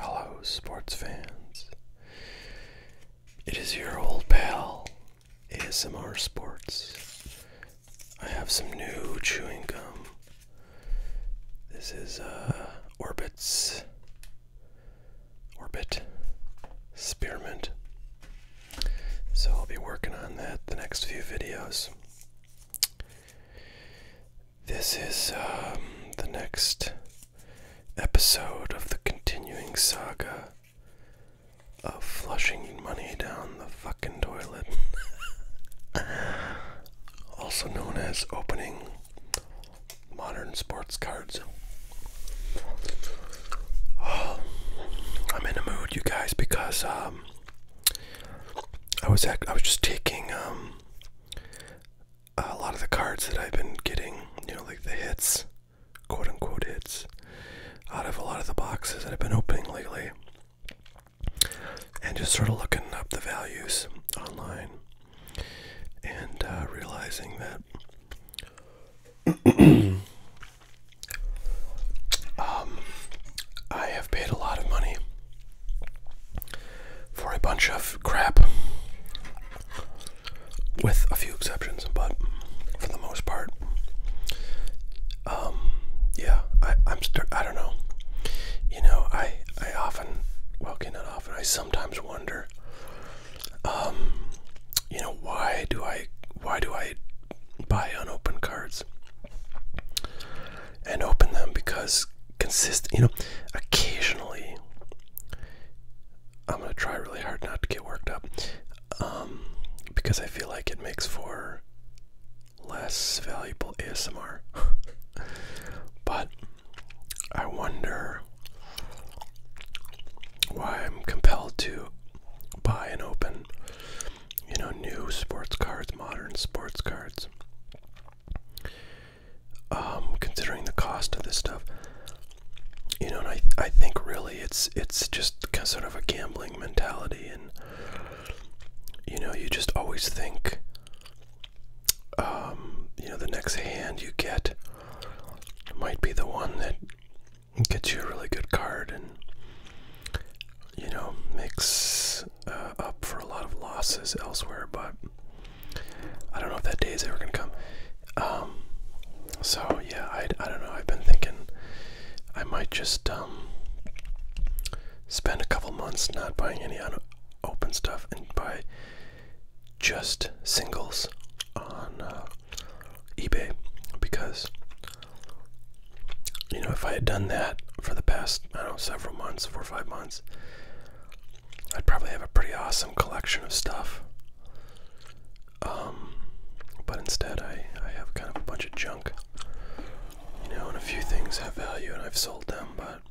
Hello, sports fans. It is your old pal, ASMR Sports. I have some new chewing gum. This is uh, Orbit's Orbit Spearmint. So I'll be working on that the next few videos. This is um, the next episode of the continuing saga of flushing money down the fucking toilet. also known as opening modern sports cards. I'm in a mood, you guys, because um, I was I was just taking um, a lot of the cards that I've been getting, you know, like the hits, quote unquote hits, out of a lot of the boxes that I've been opening lately, and just sort of looking up the values online and uh, realizing that. Um, I have paid a lot of money for a bunch of crap, with a few exceptions, but for the most part, um, yeah, I, I'm st I don't know. You know, I I often, well, okay, not often. I sometimes wonder, um, you know, why do I why do I buy unopened cards? and open them because consist you know occasionally i'm going to try really hard not to get worked up um, because i feel like it makes for less valuable asmr but i wonder why i'm compelled to buy and open you know, new sports cards, modern sports cards. Um, considering the cost of this stuff, you know, and I I think really it's it's just kind of sort of a gambling mentality, and you know, you just always think, um, you know, the next hand you get might be the one that gets you a really good card, and you know, makes uh, up for a lot of losses elsewhere, but I don't know if that day is ever going to come. Um, so, yeah, I, I don't know. I've been thinking I might just um, spend a couple months not buying any open stuff and buy just singles on uh, eBay because you know, if I had done that for the past, I don't know, several months, four or five months, I'd probably have a pretty awesome collection of stuff. Um, but instead, I, I have kind of a bunch of junk. You know, and a few things have value and I've sold them, but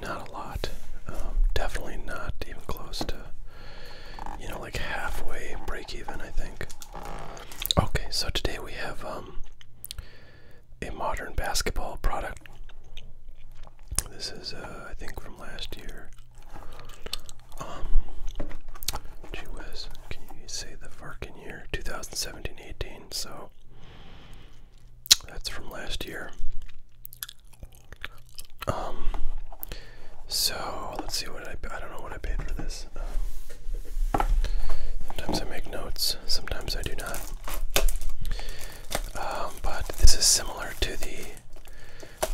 not a lot. Um, definitely not even close to, you know, like halfway break even, I think. Okay, so today we have um, a modern basketball product. This is, uh, I think, from last year. Um, gee can you say the fucking year? 2017-18, so that's from last year. Um, so let's see what I, I don't know what I paid for this sometimes I make notes, sometimes I do not. Um, but this is similar to the.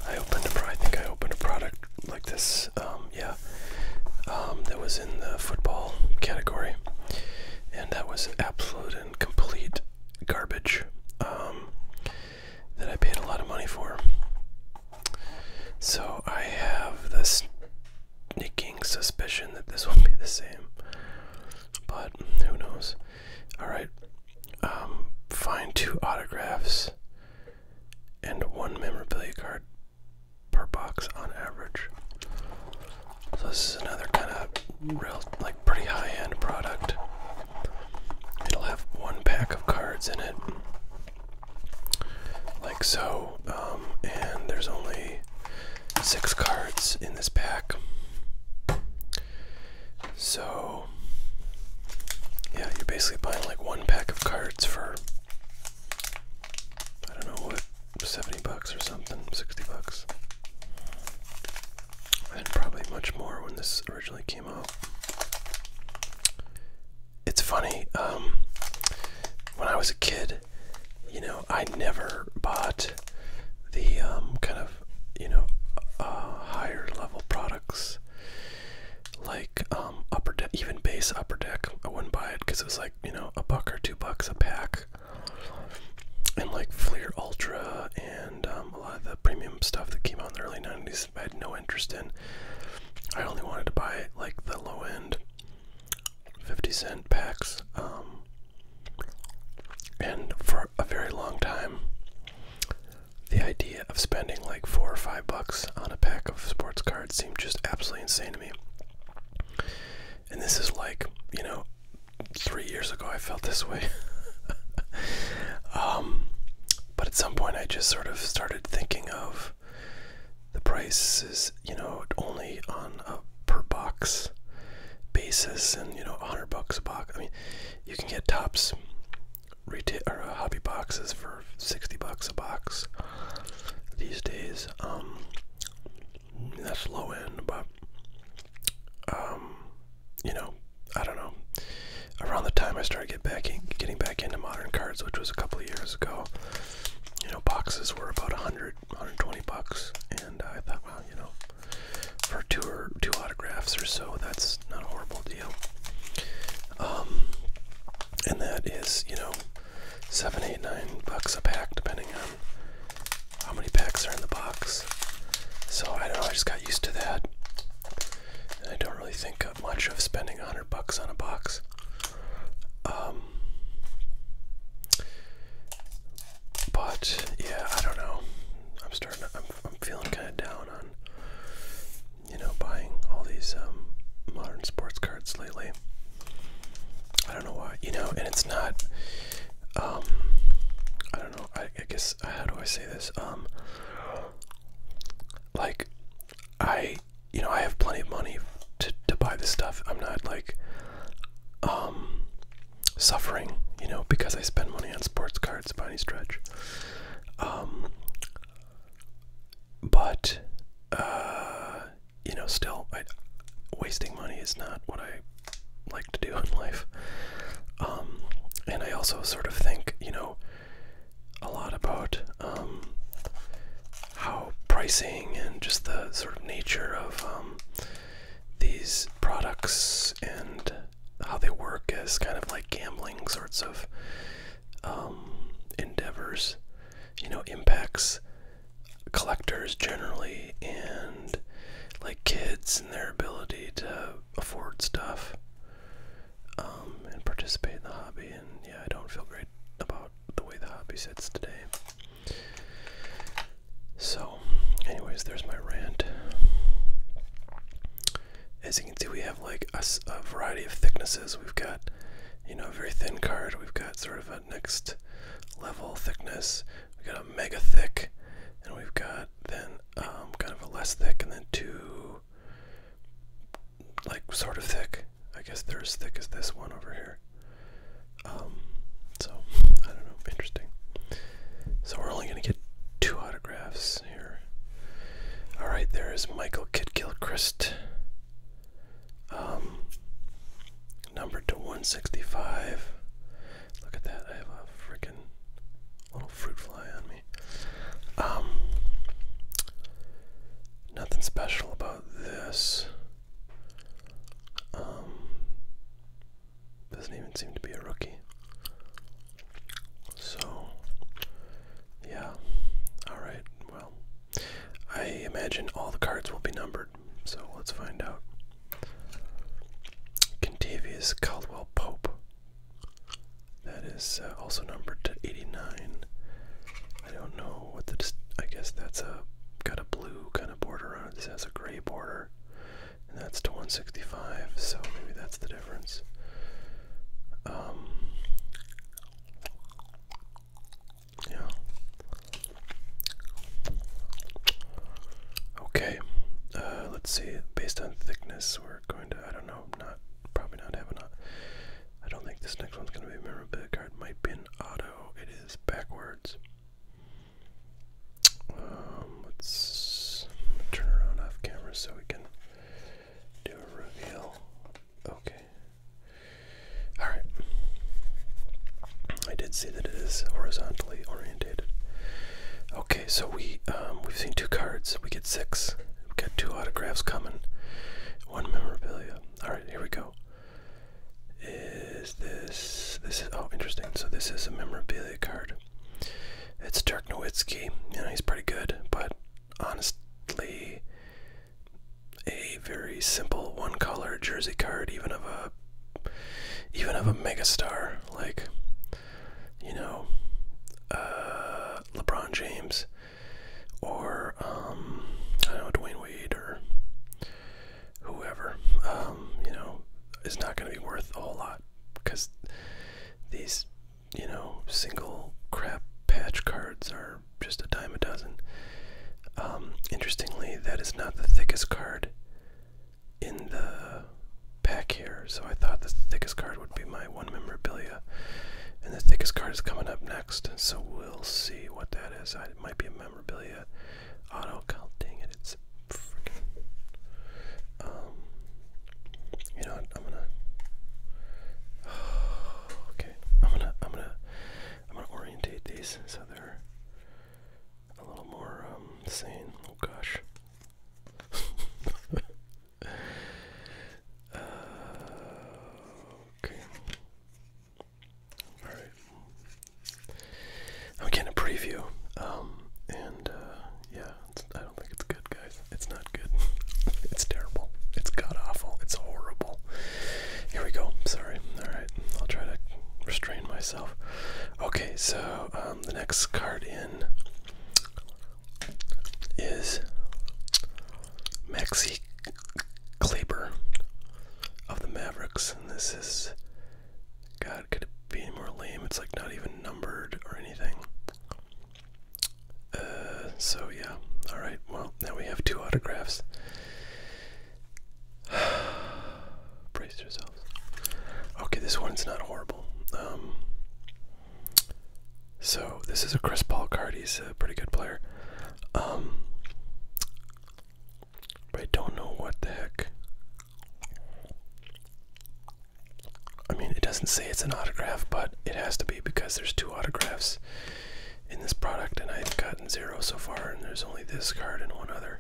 I opened a. I think I opened a product like this. Um, yeah, um, that was in the football category, and that was absolute and complete garbage. that I paid a lot of money for. So I have this nicking suspicion that this will be the same. But who knows? Alright. Um, find two autographs and one memorabilia card per box on average. So this is another kind of real, like pretty high-end product. It'll have one pack of cards in it like so. Um, and there's only six cards in this pack. So, yeah, you're basically buying like one pack of cards for, I don't know what, 70 bucks or something, 60 bucks. And probably much more when this originally came out it's funny. Um, when I was a kid, you know, I never bought the um, kind of you know uh, higher level products like um, upper even base upper deck. I wouldn't buy it because it was like you know a buck or two bucks a pack, and like Fleer Ultra and a lot of the premium stuff that came out in the early '90s. I had no interest in. I only wanted to buy like the low end 50 cent packs. Um, and for a very long time, the idea of spending like four or five bucks on a pack of sports cards seemed just absolutely insane to me. And this is like, you know, three years ago I felt this way. Um, but at some point I just sort of started thinking of the price is, you know, only on a per box basis, and you know, a 100 bucks a box. I mean, you can get tops retail uh, hobby boxes for 60 bucks a box these days. Um, that's low end, but um, you know, I don't know. Around the time I started get getting back into modern cards, which was a couple of years ago, you know, boxes were about 100, 120 bucks, and I thought, well, you know, for two or two autographs or so, that's not a horrible deal. Um, and that is, you know, seven, eight, nine bucks a pack, depending on how many packs are in the box. So I don't know. I just got used to that. And I don't really think uh, much of spending a hundred bucks on a box. Um, but yeah, I don't know. I'm starting. To, I'm I'm feeling kind of down on you know buying all these um, modern sports cards lately. I don't know why. You know, and it's not. Um, I don't know. I, I guess how do I say this? Um, like I, you know, I have plenty of money to to buy this stuff. I'm not like um suffering, you know, because I spend money on sports cards by any stretch. Um but uh you know, still I wasting money is not what I like to do in life. Um and I also sort of think, you know, a lot about um, how pricing and just the sort of nature of um, these products and how they work as kind of like gambling sorts of um, endeavors, you know, impacts collectors generally and like kids and their ability to afford stuff. Um, and participate in the hobby. And yeah, I don't feel great about the way the hobby sits today. So, anyways, there's my rant. As you can see, we have like a, variety of thicknesses. We've got, you know, a very thin card. We've got sort of a next level thickness. We've got a mega thick, and we've got then um, kind of a less thick, and then two like sort of thick. I guess they're as thick as this one over here. Um, so I don't know, interesting. So we're only gonna get two autographs here. All right, there is Michael Kid Gilchrist. Um, numbered to 165. Look at that! I have a freaking little fruit fly on me. Um, nothing special about this. Um, doesn't even seem to be a rookie. So, yeah. Alright, well, I imagine all the cards will be numbered, so let's find out. Contavious Caldwell Pope. That is uh, also numbered to 89. I don't know what the. I guess that's a got a blue kind of border on it. This has a gray border, and that's to 165. So maybe that's the difference. Um, yeah. Okay. Uh, let's see. Based on thickness, we're going to. I don't know. Not probably not have I don't think this next one's going to be a memorabilia card. Might be an auto. It is backwards. Um, let's turn around off camera so we can do a reveal. Okay. Alright. I did see that it is horizontally orientated. Okay, so we um, we've seen two cards. We get six. We got two autographs coming, one memorabilia. All right, here we go. Is this this oh interesting? So this is a memorabilia card. It's Dirk Nowitzki. You know he's pretty good, but honestly, a very simple one-color jersey card, even of a even of a megastar like you know uh, LeBron James or um, I don't know Dwayne Wade or whoever, um, you know, is not going to be worth a whole lot because these, you know, single crap patch cards are just a dime a dozen. Um, interestingly, that is not the thickest card in the pack here, so I thought the thickest card would be my one memorabilia. And the thickest card is coming up next, so we'll see what that is. I, it might be a memorabilia auto. God dang it, it's freaking. Um, you know, I'm gonna. Okay, I'm gonna, I'm gonna, I'm gonna orientate these so they're a little more um, sane. Oh gosh. Uh, okay. All right. I'm getting a preview, um, and uh, yeah, it's, I don't think it's good, guys. It's not good. it's terrible. It's god awful. It's horrible. Here we go. Sorry. All right. I'll try to restrain myself. Okay. So um, the next card in is Maxi Kleber of the Mavericks, and this is God, could it be more lame? It's like not even numbered or anything. Uh, so yeah, all right. Well, now we have two autographs. Brace yourselves. Okay, this one's not horrible. Um, so this is a Chris Paul card. He's a pretty good player. Um, I don't know what the heck. I mean, it doesn't say it's an autograph, but it has to be because there's two autographs in this product, and I've gotten zero so far, and there's only this card and one other.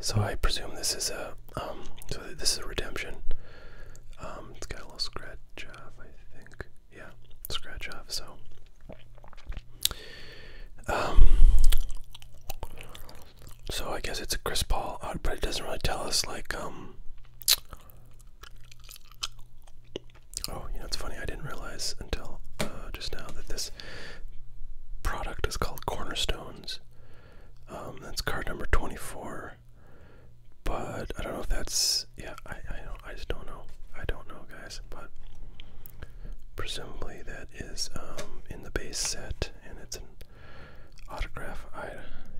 So I presume this is a um, so this is a redemption. Um, it's got scratch off, I think. Yeah, scratch off. So, um, so I guess it's a Chris Paul, but it doesn't really tell us like um. Oh, you know it's funny. I didn't realize until uh, just now that this product is called Cornerstones. Um, that's card number twenty-four but I don't know if that's yeah. I I don't I just don't know. I don't know, guys. But presumably that is um, in the base set, and it's an autograph. I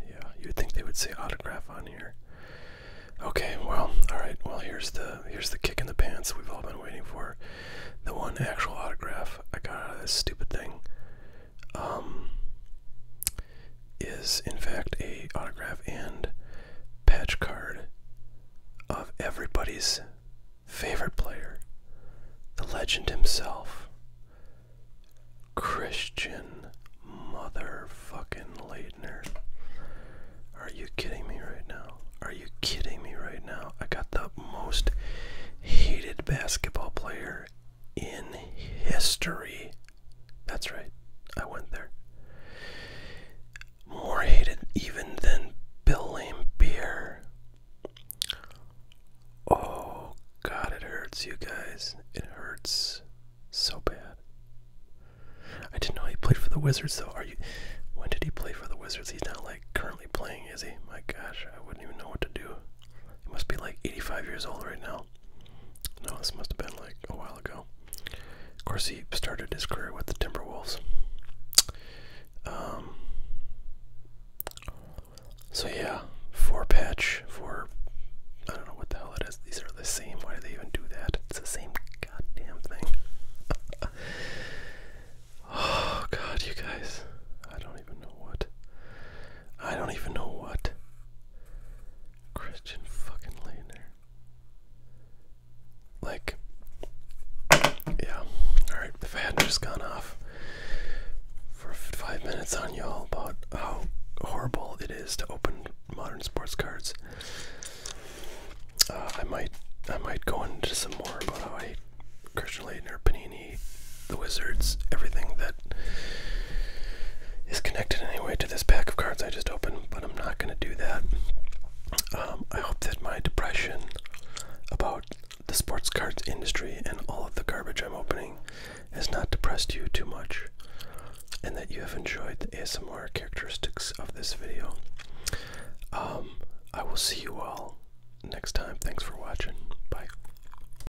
yeah. You'd think they would say autograph on here. Okay, well, all right. Well, here's the here's the kick in the pants we've all been waiting for. The one actual autograph I got out of this stupid thing. Um, is in fact a autograph and patch card of everybody's favorite player, the legend himself, Christian motherfucking Leitner. Are you kidding me right now? Are you kidding me right now? I got the most hated basketball player in history that's right, I went there. More hated even than Bill Lame Beer. Oh god, it hurts, you guys. It hurts so bad. I didn't know he played for the Wizards, though. Are you? When did he play for the Wizards? He's not like currently playing, is he? My gosh, I wouldn't even know what to do. He must be like 85 years old right now. No, this must have been like a while ago. Of course, he started his career with the Timberwolves. Um, so yeah, four patch for I don't know what the hell it is. These are the same. Why do they even do that? It's the same goddamn thing. oh god, you guys, I don't even know what. I don't even know what. Christian fucking Leitner. Like, yeah. Alright, if I hadn't just gone off for five minutes on y'all about how horrible it is to open modern sports cards, uh, I might I might go into some more about how I hate Christian Leitner, Panini, the wizards, everything that is connected anyway to this pack of cards I just opened, but I'm not going to do that. Um, I hope that my depression about the sports cards industry and all of the garbage I'm opening has not depressed you too much, and that you have enjoyed the ASMR characteristics of this video. Um, I will see you all next time. Thanks for watching. Bye.